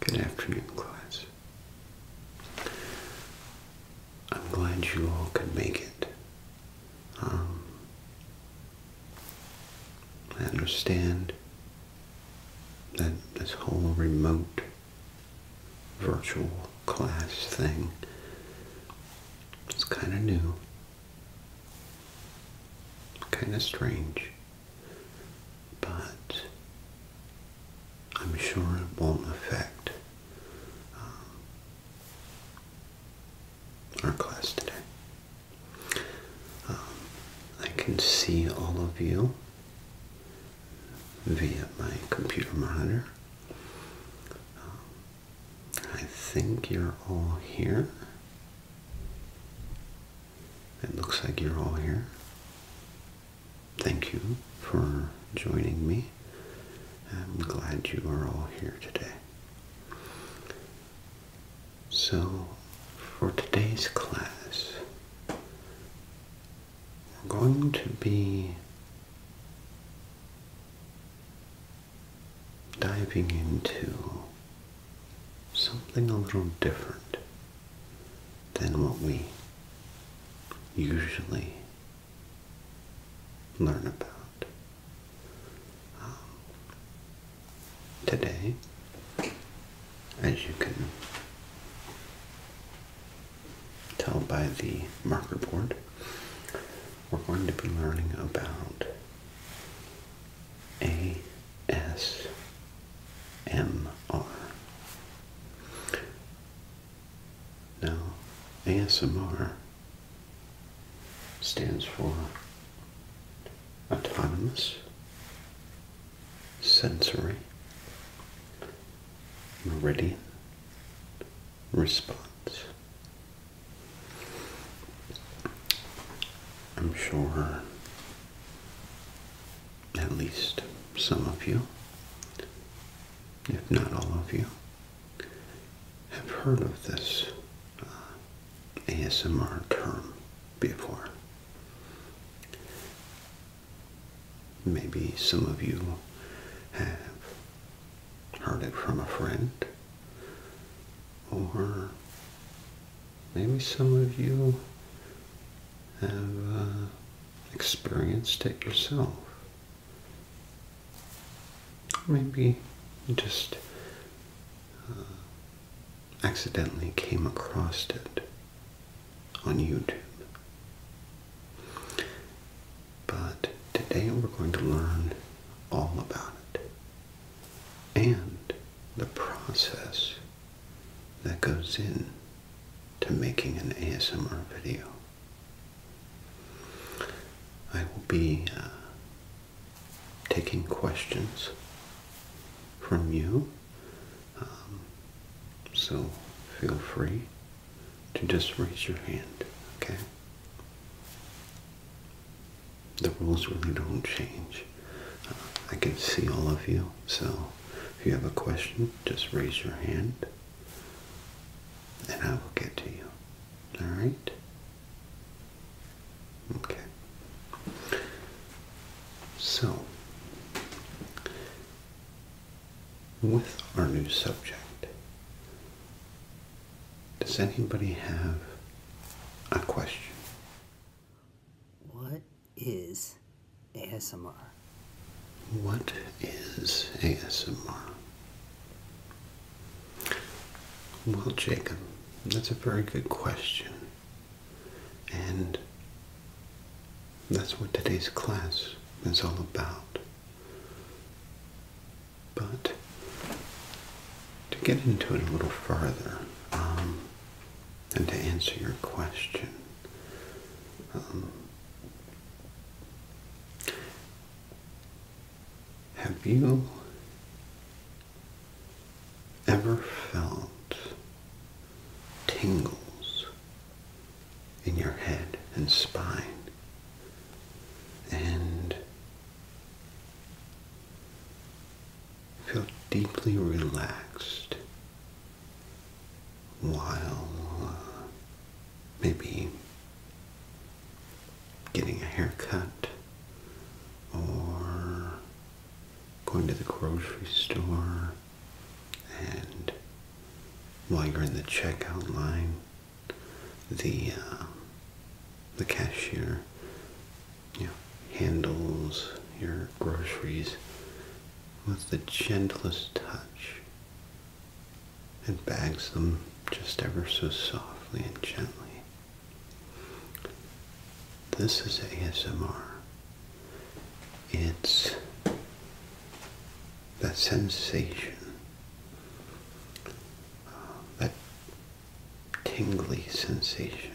Good afternoon, class. I'm glad you all could make it. Um, I understand that this whole remote virtual class thing is kind of new, kind of strange but I'm sure it won't affect um, our class today. Um, I can see all of you via my computer monitor. Um, I think you're all here. It looks like you're all here. Thank you for joining me. I'm glad you are all here today. So, for today's class, we're going to be diving into something a little different than what we usually learn about. Um, today, as you can tell by the marker board, we're going to be learning about a ASMR. Now, ASMR stands for Autonomous Sensory Meridian Response. I'm sure at least some of you, if not all of you, have heard of this uh, ASMR term before. Maybe some of you have heard it from a friend or maybe some of you have uh, experienced it yourself. Maybe just uh, accidentally came across it on YouTube. But today we're going to learn all about it and the process that goes in to making an ASMR video. I will be uh, taking questions from you, um, so feel free to just raise your hand, okay? The rules really don't change. I can see all of you, so if you have a question, just raise your hand and I will get to you. Alright? Okay. So, with our new subject, does anybody have a question? What is ASMR? What is ASMR? Well, Jacob, that's a very good question. And that's what today's class is all about. But to get into it a little further, um, and to answer your question, um, have you ever felt tingles in your head and spine? And Feel deeply relaxed while uh, maybe getting a haircut or going to the grocery store and while you're in the checkout line the uh, the cashier you know, handles your groceries with the gentlest touch and bags them just ever so softly and gently. This is ASMR. It's that sensation, uh, that tingly sensation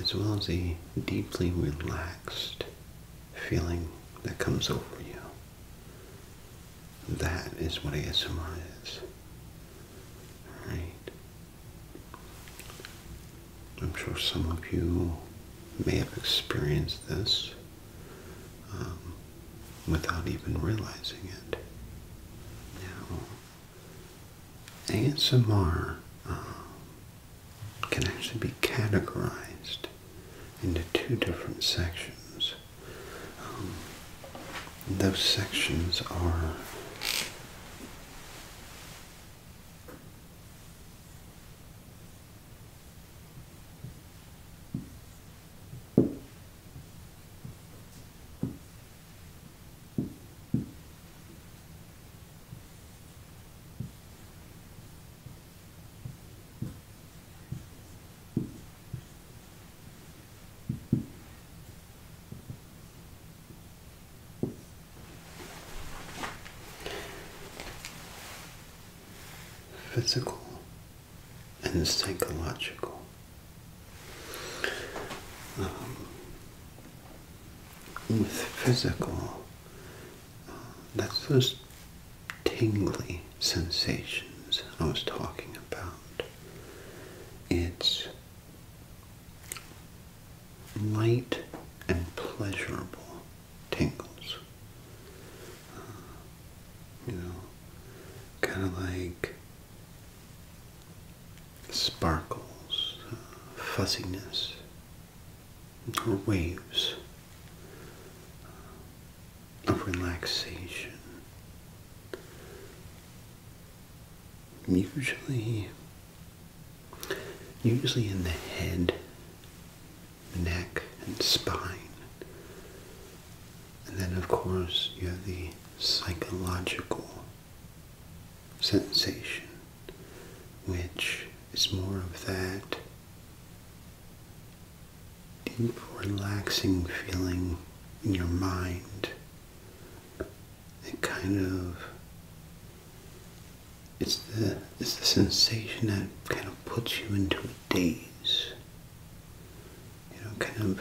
as well as a deeply relaxed feeling that comes over you. That is what ASMR is. Alright. I'm sure some of you may have experienced this um, without even realizing it. Now, ASMR uh, can actually be categorized into two different sections. Um, those sections are physical and psychological. Um, with physical, that's those tingly sensations I was talking about. It's light and pleasurable tingles. Uh, you know, kind of like sparkles, uh, fussiness, or waves of relaxation. Usually, usually in the head, neck, and spine. And then, of course, you have the psychological sensation, which is more of that deep, relaxing feeling in your mind. It kind of it's the it's the sensation that kind of puts you into a daze. You know, kind of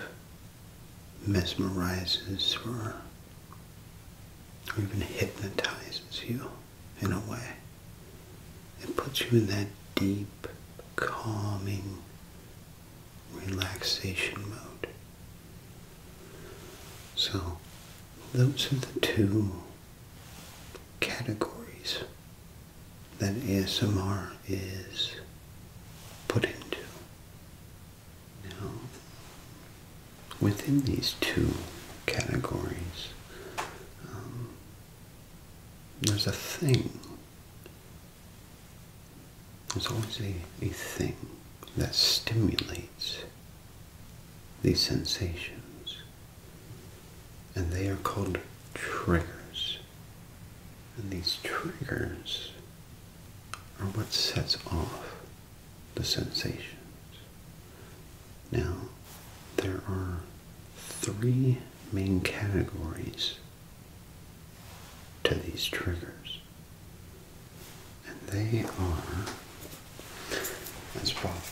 mesmerizes or or even hypnotizes you in a way. It puts you in that deep, calming relaxation mode. So, those are the two categories that ASMR is put into. Now, within these two categories, um, there's a thing. There's always a, a thing that stimulates these sensations, and they are called triggers. And these triggers are what sets off the sensations. Now, there are three main categories to these triggers, and they are as follows.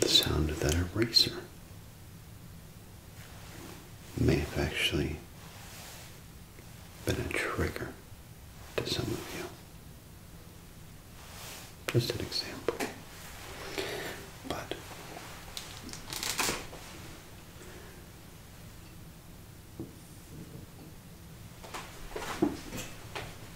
the sound of that eraser may have actually been a trigger to some of you. Just an example. But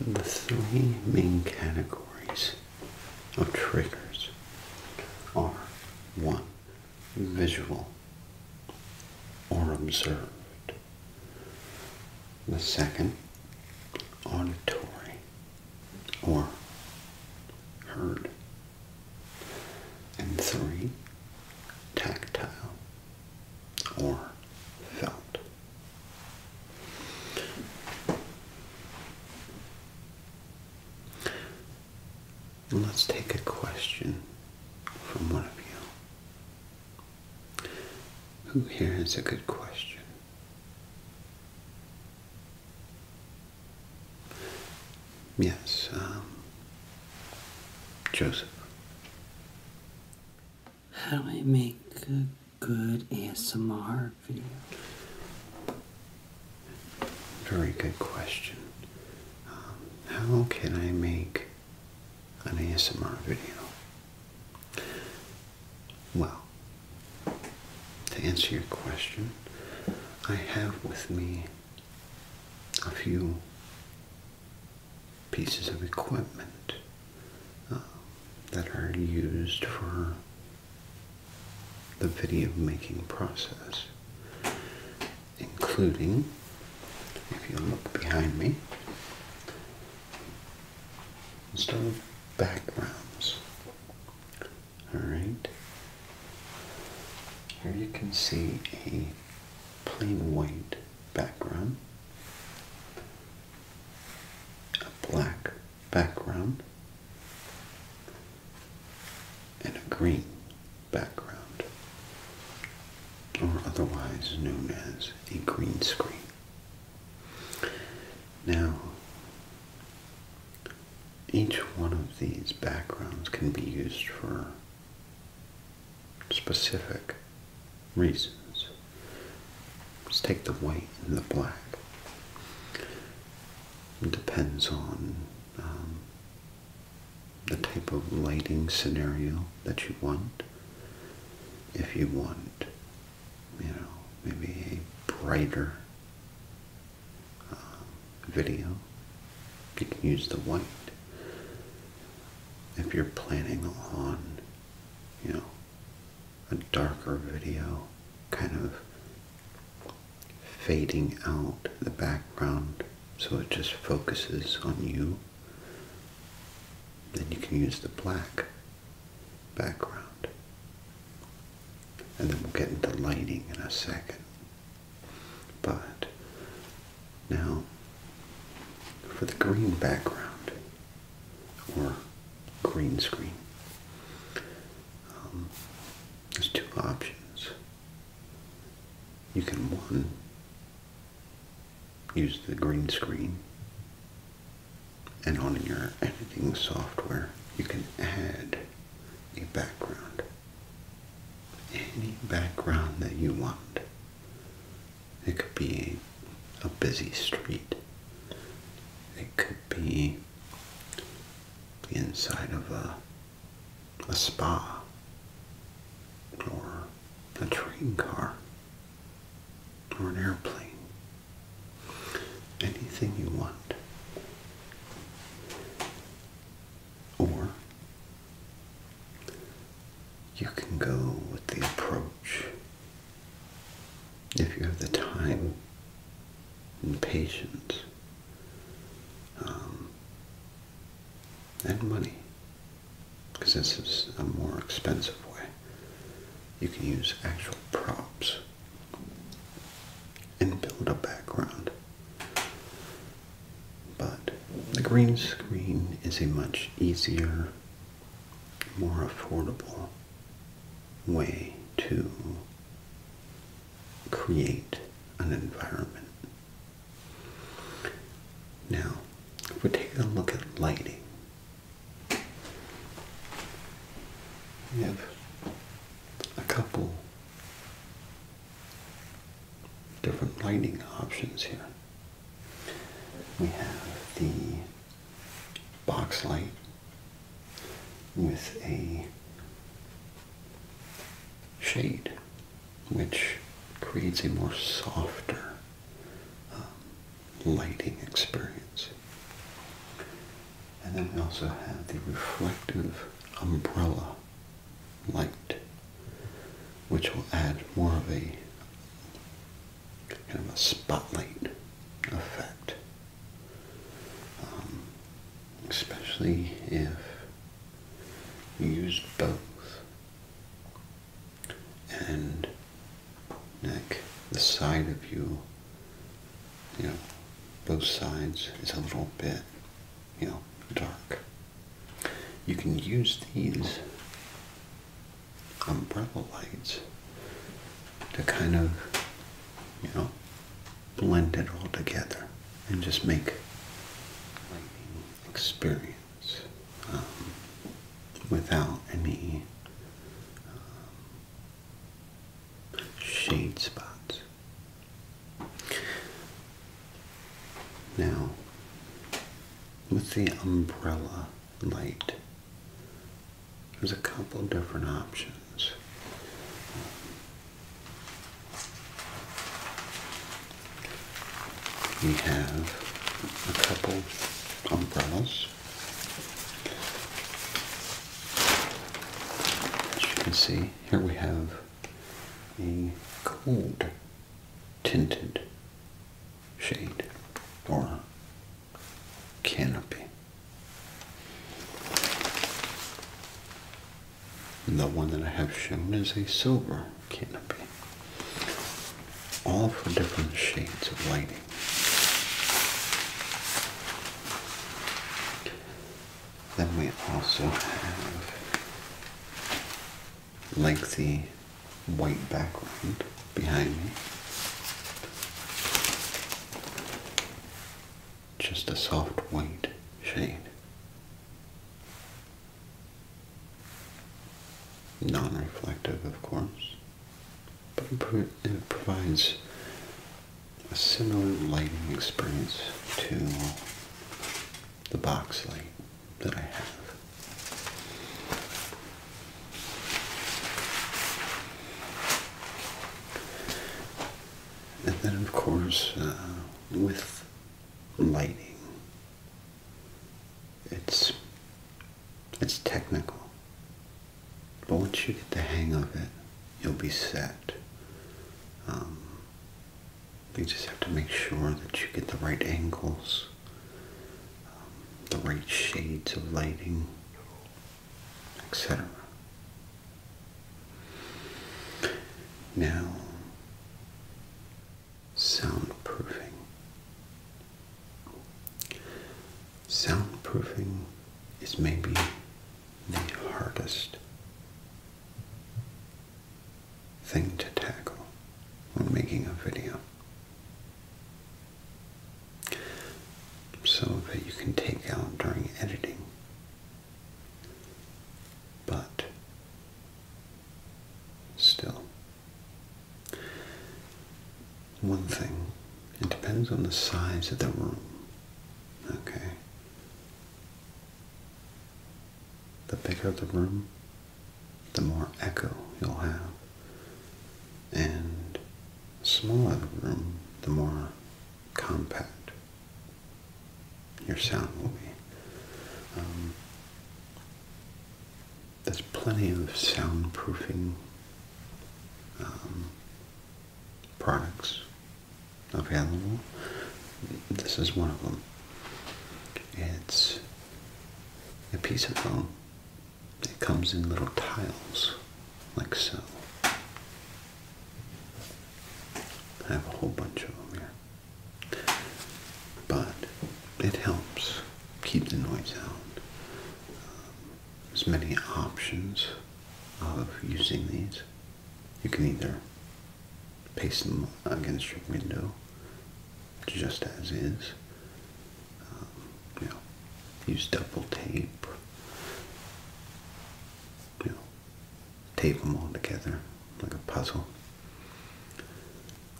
The three main categories of triggers are one, visual or observed, the second, auditory or heard. And three, tactile or felt. Let's take a question from one of you. Who here has a good question? Yes, um, Joseph. How do I make a good ASMR video? Very good question. Um, how can I make an ASMR video? Well, to answer your question, I have with me a few pieces of equipment uh, that are used for the video making process, including, if you look behind me, instead backgrounds. Alright. Here you can see a plain white background, a black background, and a green background, or otherwise known as a green screen. Now, each one of these backgrounds can be used for specific reasons. Let's take the white and the black. It depends on um, the type of lighting scenario that you want. If you want, you know, maybe a brighter uh, video. You can use the white. If you're planning on, you know, a darker video, kind of fading out the background so it just focuses on you, then you can use the black background and then we'll get into lighting in a second. But now for the green background or green screen, um, there's two options. You can one use the green screen and on your editing software you can add a background. Any background that you want. It could be a, a busy street. It could be the inside of a, a spa or a train car or an airplane anything you want, or you can go with the approach if you have the time and patience um, and money, because this is a more expensive way. You can use actual props and build a background. But the green screen is a much easier, more affordable way to create an environment. Now, if we take a look at lighting, we have a couple different lighting options here. We have the box light with a shade which creates a more softer um, lighting experience. And then we also have the reflective umbrella light, which will add more of a kind of a spotlight effect, um, especially if you use both. And neck, the side of you you know, both sides is a little bit, you know, dark. You can use these umbrella lights to kind of, you know, blend it all together and just make lighting experience um, without any um, shade spots. Now, with the umbrella light, there's a couple different options. We have a couple umbrellas. As you can see, here we have a cold tinted shade or canopy. And the one that I have shown is a silver canopy. All for different shades of lighting. Then we also have lengthy white background behind me. Just a soft white shade. Non-reflective, of course, but it provides a similar lighting experience to the box light that I have. And then, of course, uh, with lighting, it's it's technical. But once you get the hang of it, you'll be set. Um, you just have to make sure that you get the right angles, um, the right shades of lighting, etc. Now, soundproofing. Soundproofing is maybe the hardest thing to tackle when making a video so that you can take out during editing but still one thing it depends on the size of the room okay the bigger the room, the more echo you'll have. And the smaller the room, the more compact your sound will be. Um, there's plenty of soundproofing um, products available. This is one of them. It's a piece of foam. It comes in little tiles, like so. I have a whole bunch of them here. But it helps keep the noise out. there's many options of using these. You can either paste them against your window just as is. Um, you know, use double tape. You know, tape them all together like a puzzle.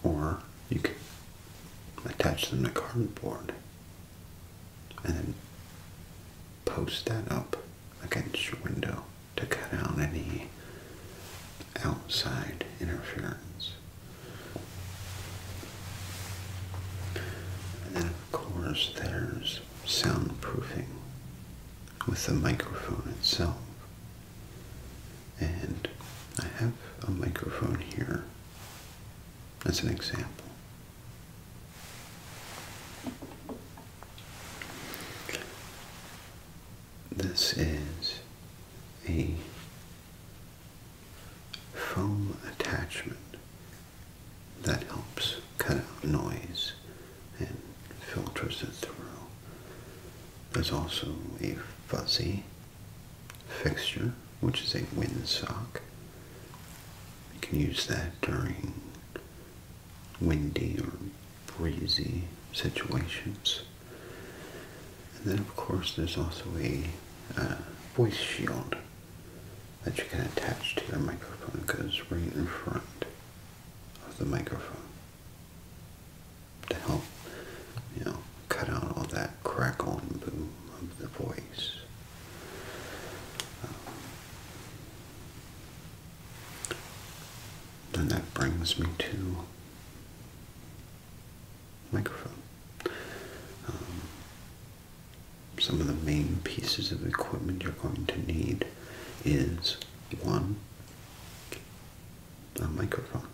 Or you can attach them to cardboard and then post that up against your window to cut out any outside interference. And then of course there's soundproofing with the microphone itself. And I have a microphone here as an example. This is a foam attachment that helps cut out noise and filters it through. There's also a fuzzy fixture, which is a windsock. You can use that during windy or breezy situations. And then, of course, there's also a uh, voice shield that you can attach to your microphone because right in front of the microphone to help, you know, cut out all that crackle and boom of the voice. Um, that brings me to microphone. Um, some of the main pieces of equipment you're going to need is one, a microphone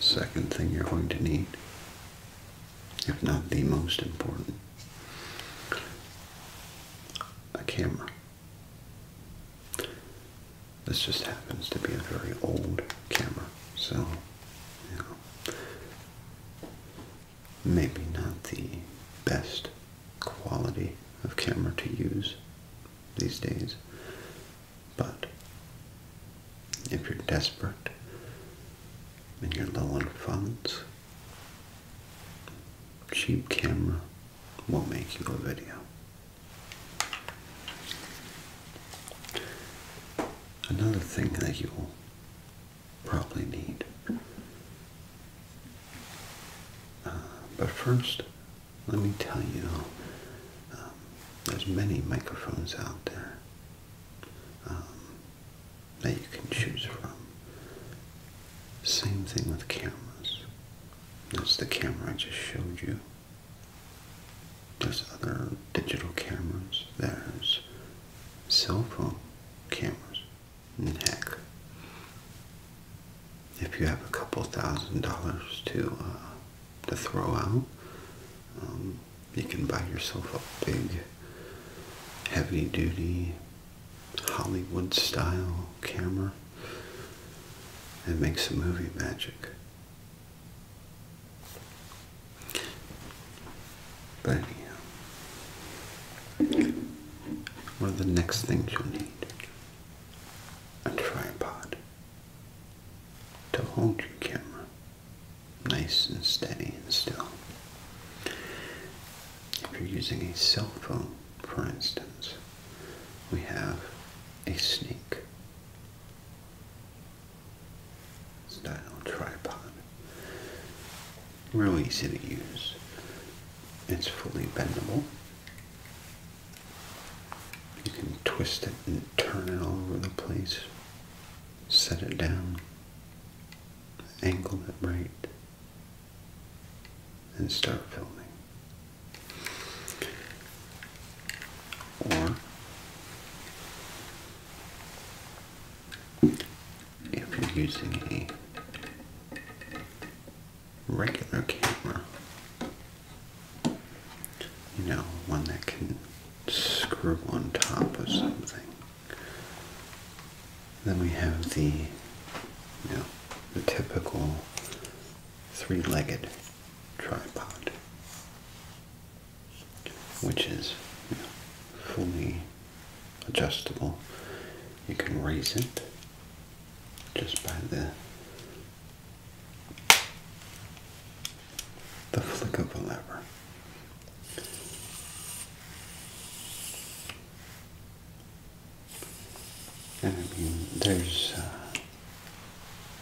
second thing you're going to need, if not the most important, a camera. This just happens to be a very old camera, so, maybe not the best quality of camera to use these days. But if you're desperate and you're low on funds, cheap camera will make you a video. Another thing that you'll probably need. Uh, but first, let me tell you, um, there's many microphones out there um, that you can choose from. Same thing with cameras. That's the camera I just showed you. There's other digital cameras. There's cell phone cameras. heck, if you have a couple thousand dollars to uh, to throw out. Um, you can buy yourself a big, heavy-duty, Hollywood-style camera and make some movie magic. But anyhow, one of the next things you'll need a tripod to hold your camera nice and steady and still. If you're using a cell phone, for instance, we have a snake style tripod. Real easy to use. It's fully bendable. You can twist it and turn it all over the place. Set it down. Angle it right. And start filming. Or if you're using a regular camera, you know, one that can screw on top of something. Then we have the, you know, the typical three-legged tripod, which is you know, fully adjustable. You can raise it just by the the flick of a lever. And I mean, there's uh,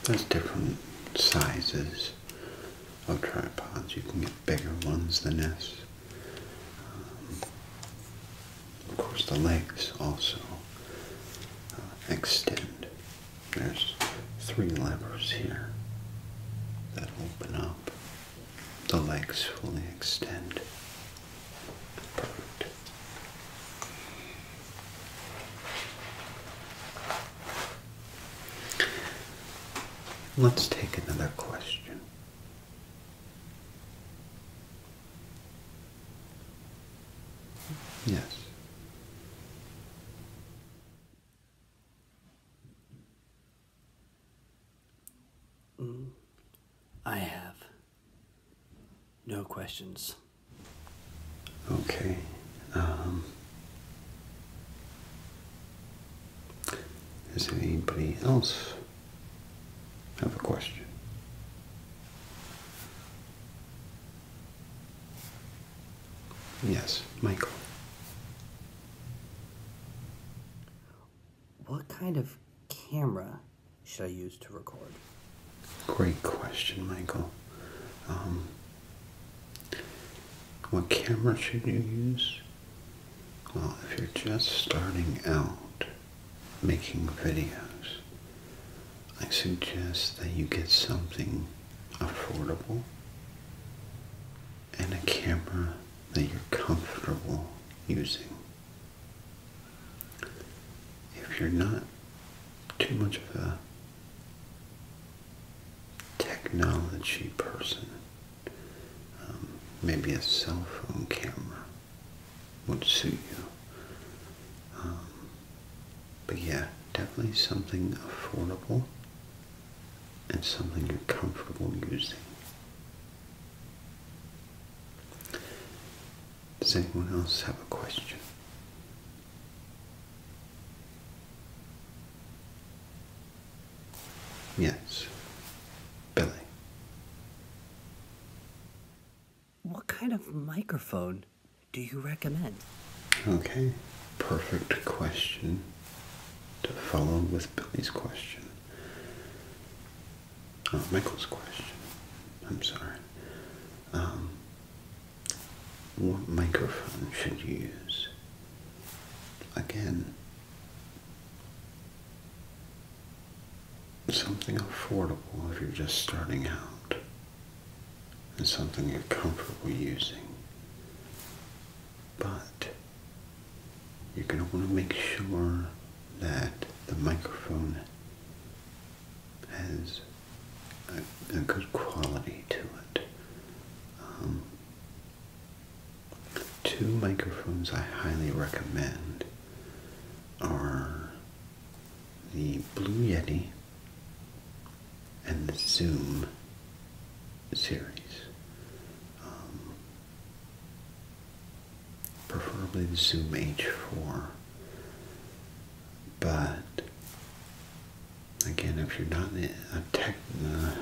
there's different sizes of tripods. You can get bigger ones than this. Um, of course, the legs also uh, extend there's three levers here that open up. The legs fully extend Let's take another question. Yes. Mm, I have no questions. Okay. Um, does anybody else have a question? Yes, Michael. What kind of camera should I use to record? Great question, Michael. Um, what camera should you use? Well, if you're just starting out making videos, I suggest that you get something affordable and a camera that you're comfortable using. If you're not too much of a technology person, um, maybe a cell phone camera would suit you. Um, but yeah, definitely something affordable and something you're comfortable using. Does anyone else have a question? Yes, Billy what kind of microphone do you recommend? Okay, perfect question to follow with Billy's question. Oh, Michael's question. I'm sorry. Um, what microphone should you use? Again, something affordable if you're just starting out and something you're comfortable using. But you're going to want to make sure that the microphone has a, good quality to it. Um, two microphones I highly recommend are the Blue Yeti and the Zoom series. Um, preferably the Zoom H4. But again, if you're not a tech, uh,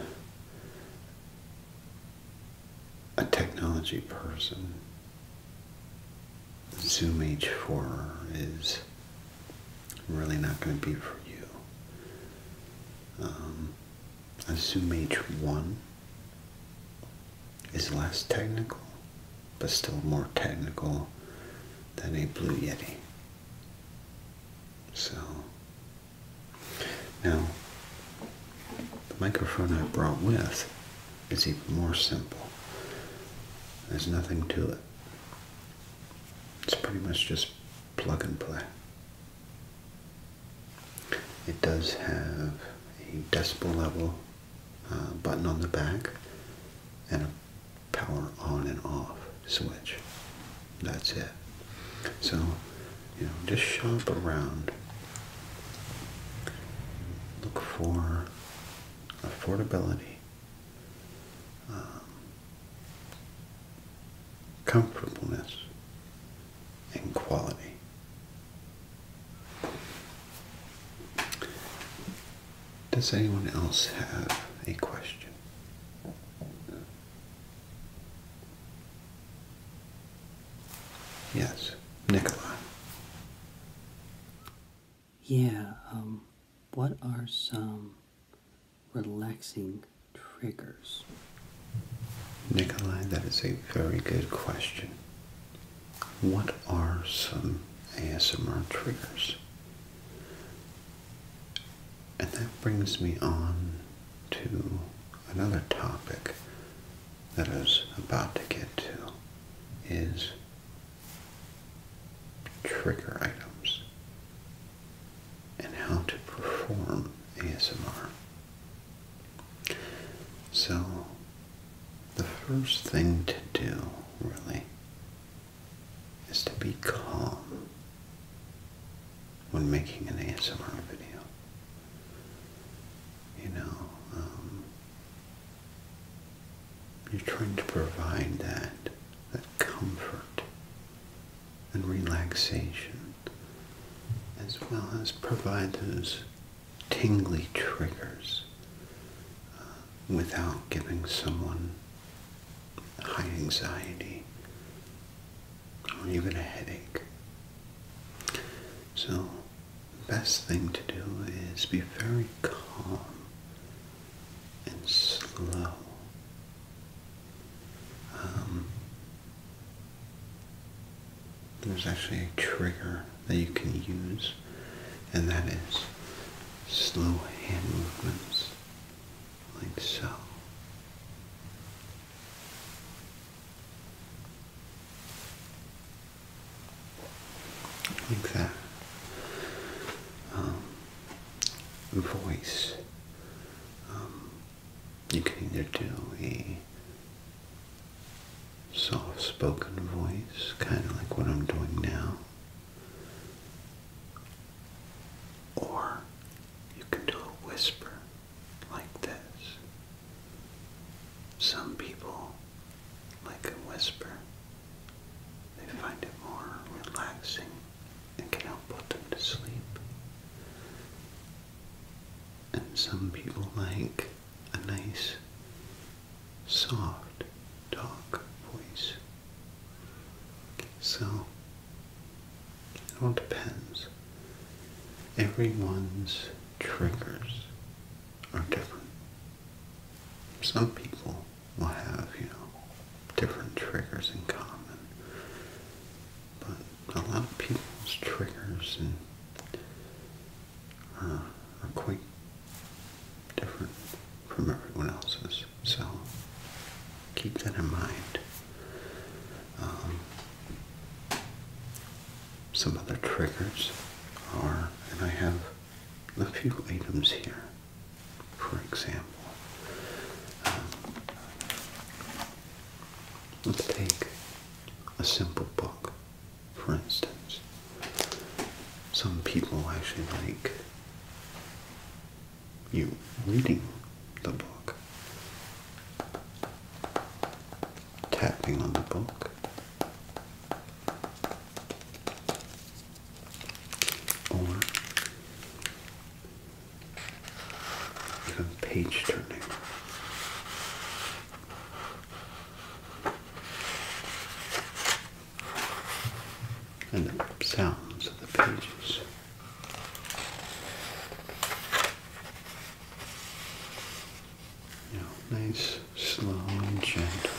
a technology person, Zoom H4 is really not going to be for you. Um, a Zoom H1 is less technical, but still more technical than a Blue Yeti. So, now, the microphone I brought with is even more simple. There's nothing to it. It's pretty much just plug and play. It does have a decibel level uh, button on the back and a power on and off switch. That's it. So, you know, just shop around. Look for affordability um, comfortableness, and quality. Does anyone else have a question? Yes, Nikolai. Yeah, um, what are some relaxing triggers? Nikolai, that is a very good question. What are some ASMR triggers? And that brings me on to another topic that I was about to get to is trigger items, and how to perform ASMR. So, the first thing to do, really, is to be calm when making an ASMR video. You know, um, you're trying to provide that, that comfort and relaxation, as well as provide those tingly triggers uh, without giving someone high anxiety or even a headache. So, the best thing to do is be very calm and slow. Um, there's actually a trigger that you can use, and that is slow hand movements, like so. Like that. Um, voice. Um, you can either do a soft spoken voice, kind of like what I'm doing now, or you can do a whisper like this. Some people like a whisper. They find it more relaxing and can help put them to sleep. And some people like a nice, soft dark voice. So, it all depends. Everyone's triggers are different. Some people will have, you know, different triggers in common. But a lot of people's triggers and uh, are quite different from everyone else's. So keep that in mind. Um, some other triggers are, and I have a few items here for example. Um, let's take a simple book, for instance. Some people actually like you reading the book, tapping on the book, or even page turning. And the sounds of the pages. You nice, slow, and gentle.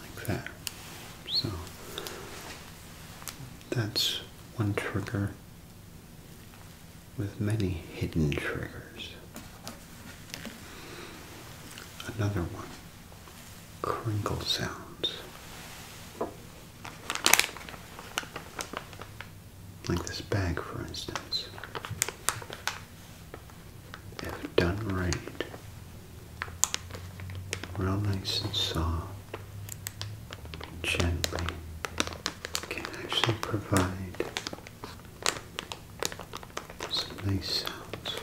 Like that. So that's one trigger with many hidden triggers. Another one crinkle sounds. Like this bag, for instance. If done right, real nice and soft, gently, can actually provide some nice sounds.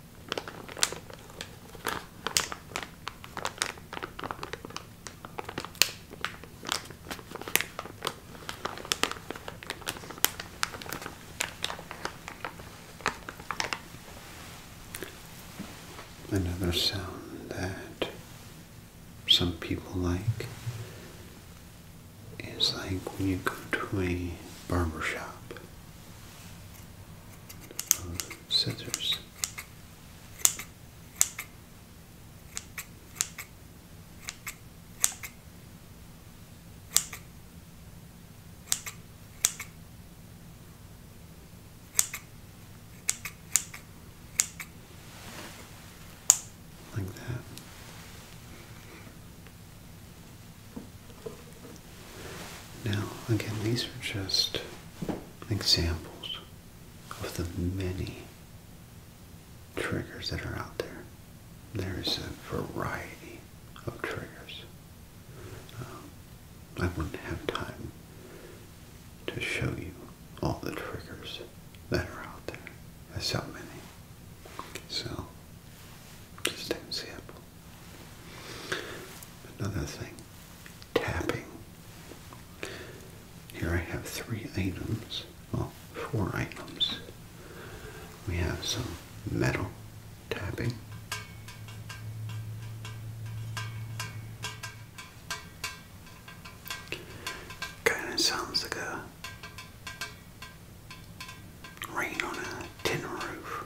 Another sound that some people like is like when you go to a barber shop uh, Like that. Now, again, these are just examples of the many triggers that are out there. There's a variety of triggers. Um, I wouldn't have time to show you all the triggers that are out there. There's so many. So, just examples. Another thing, tapping. Here I have three items, well, four items. We have some metal tapping. Kind of sounds like a rain on a tin roof.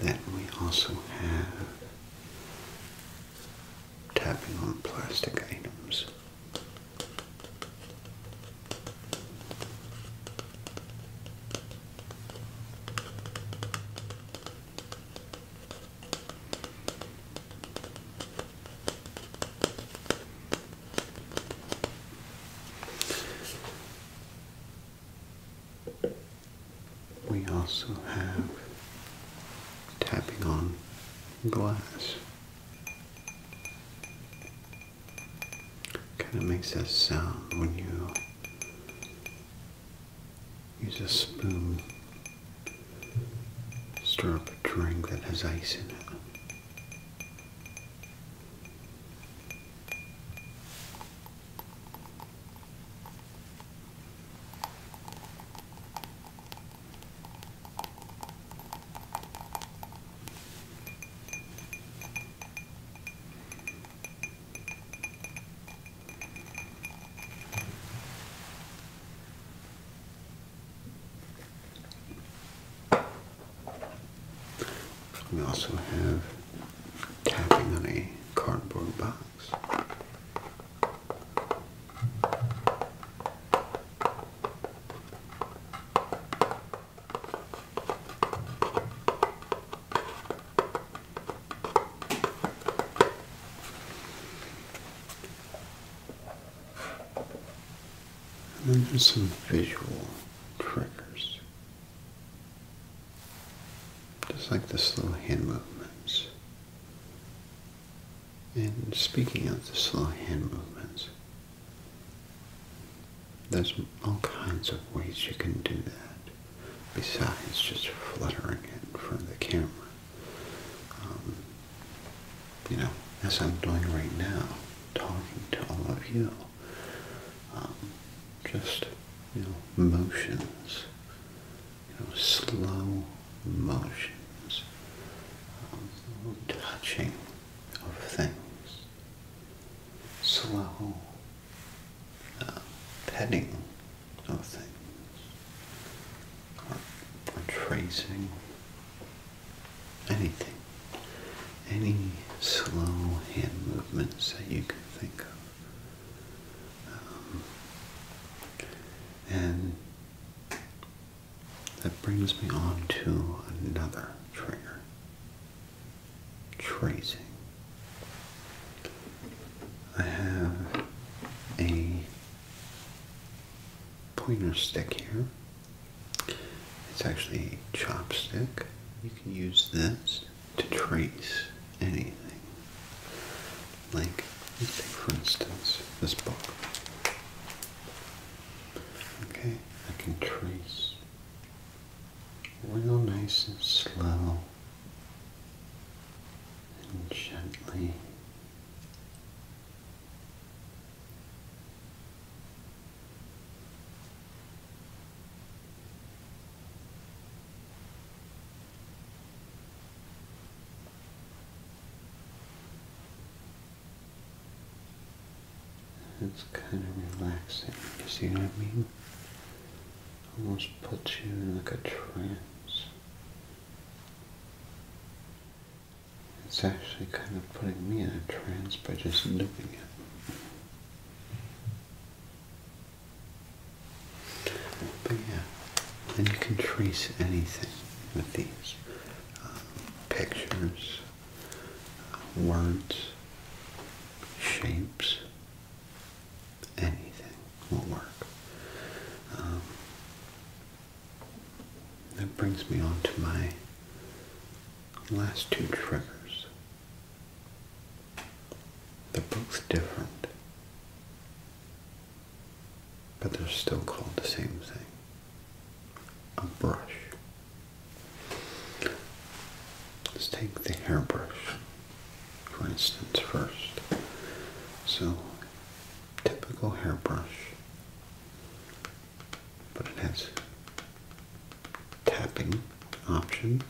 Then we also have tapping on plastic items. We also have tapping on glass. Kind of makes that sound when you use a spoon Stir up a drink that has ice in it. We also have tapping on a cardboard box. And then there's some visual triggers. Just like the slow hand movements. And speaking of the slow hand movements, there's all kinds of ways you can do that besides just fluttering it in front of the camera. Um, you know, as I'm doing right now, talking to all of you, um, just, you know, motions, you know, slow motions, um, touching of things, slow uh, petting of things, or tracing anything, any slow hand movements that you can think of. Um, and that brings me on to another trigger tracing. I have a pointer stick here. It's actually a chopstick. You can use this to trace anything. Like, for instance this book. Okay, I can trace real nice and slow and gently it's kind of relaxing, you see what I mean? Almost puts you in like a trance. It's actually kind of putting me in a trance by just doing it. But yeah, and you can trace anything with these um, pictures, words, shapes, anything will work. Um, that brings me on to my last two triggers. They're both different, but they're still called the same thing a brush. Let's take the hairbrush, for instance, first. So, typical hairbrush but it has tapping options.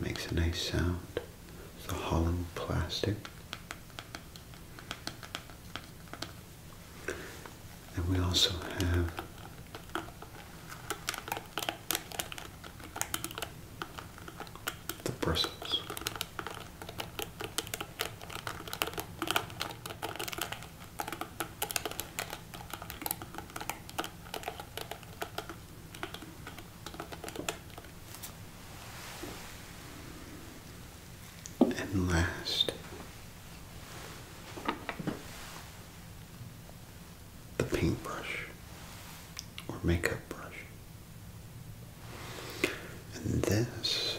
makes a nice sound. It's a hollow plastic. And we also have the bristles. And last, the paintbrush or makeup brush. And this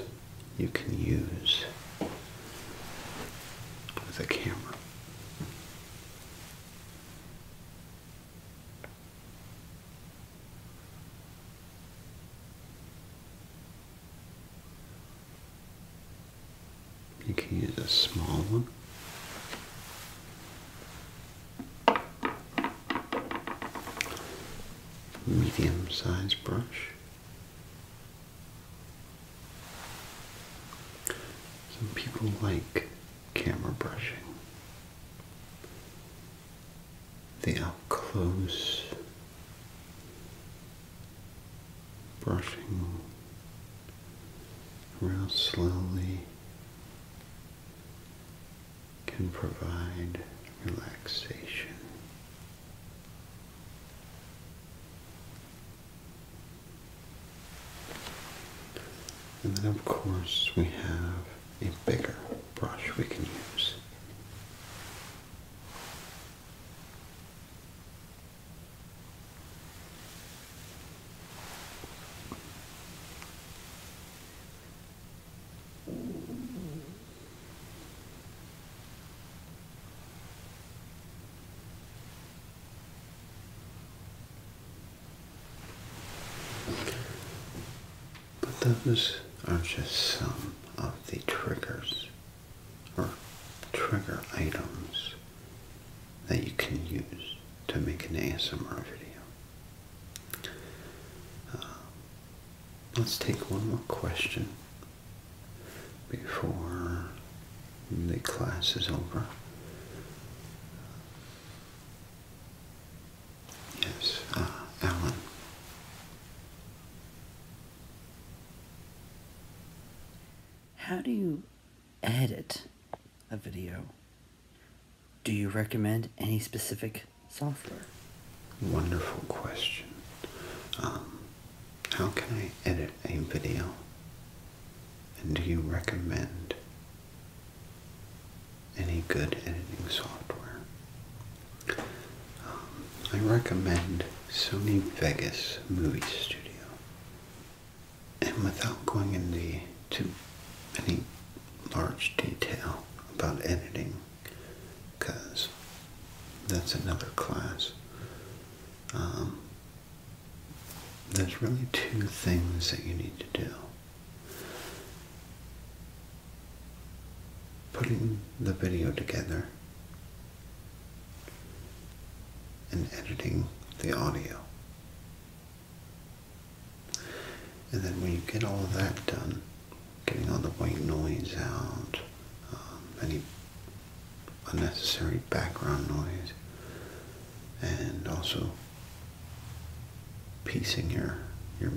you can use with a camera. You can use a small one medium sized brush. Some people like camera brushing. They up close brushing around slowly can provide relaxation. And then, of course, we have a bigger brush we can use. But those are just some of the triggers or trigger items that you can use to make an ASMR video. Uh, let's take one more question before the class is over. Yes, uh, Alan. How do you edit a video? Do you recommend any specific software? Wonderful question. Um, how can I edit a video? And do you recommend any good editing software? Um, I recommend Sony Vegas Movie Studio. And without going into any large detail about editing, because that's another class. Um, there's really two things that you need to do. Putting the video together and editing the audio. And then when you get all that done, getting all the white noise out, um, any unnecessary background noise, and also piecing your your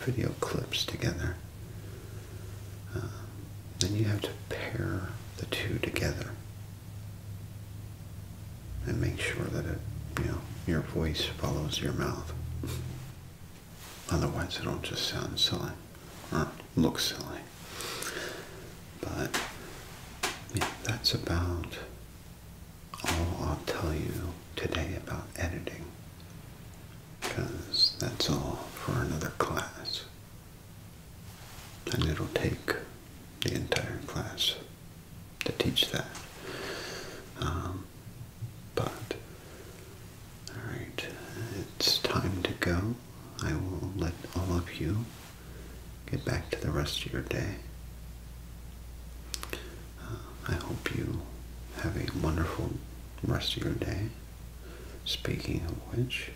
video clips together. Um, then you have to pair the two together and make sure that it, you know, your voice follows your mouth. Otherwise, it'll just sound silly or look silly. But yeah, that's about all I'll tell you today about editing. Because that's all for another class. And it'll take the entire class to teach that. Um, but, alright, it's time to go. I will let all of you get back to the rest of your day. Uh, I hope you have a wonderful rest of your day. Speaking of which,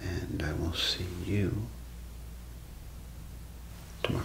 and I will see you tomorrow.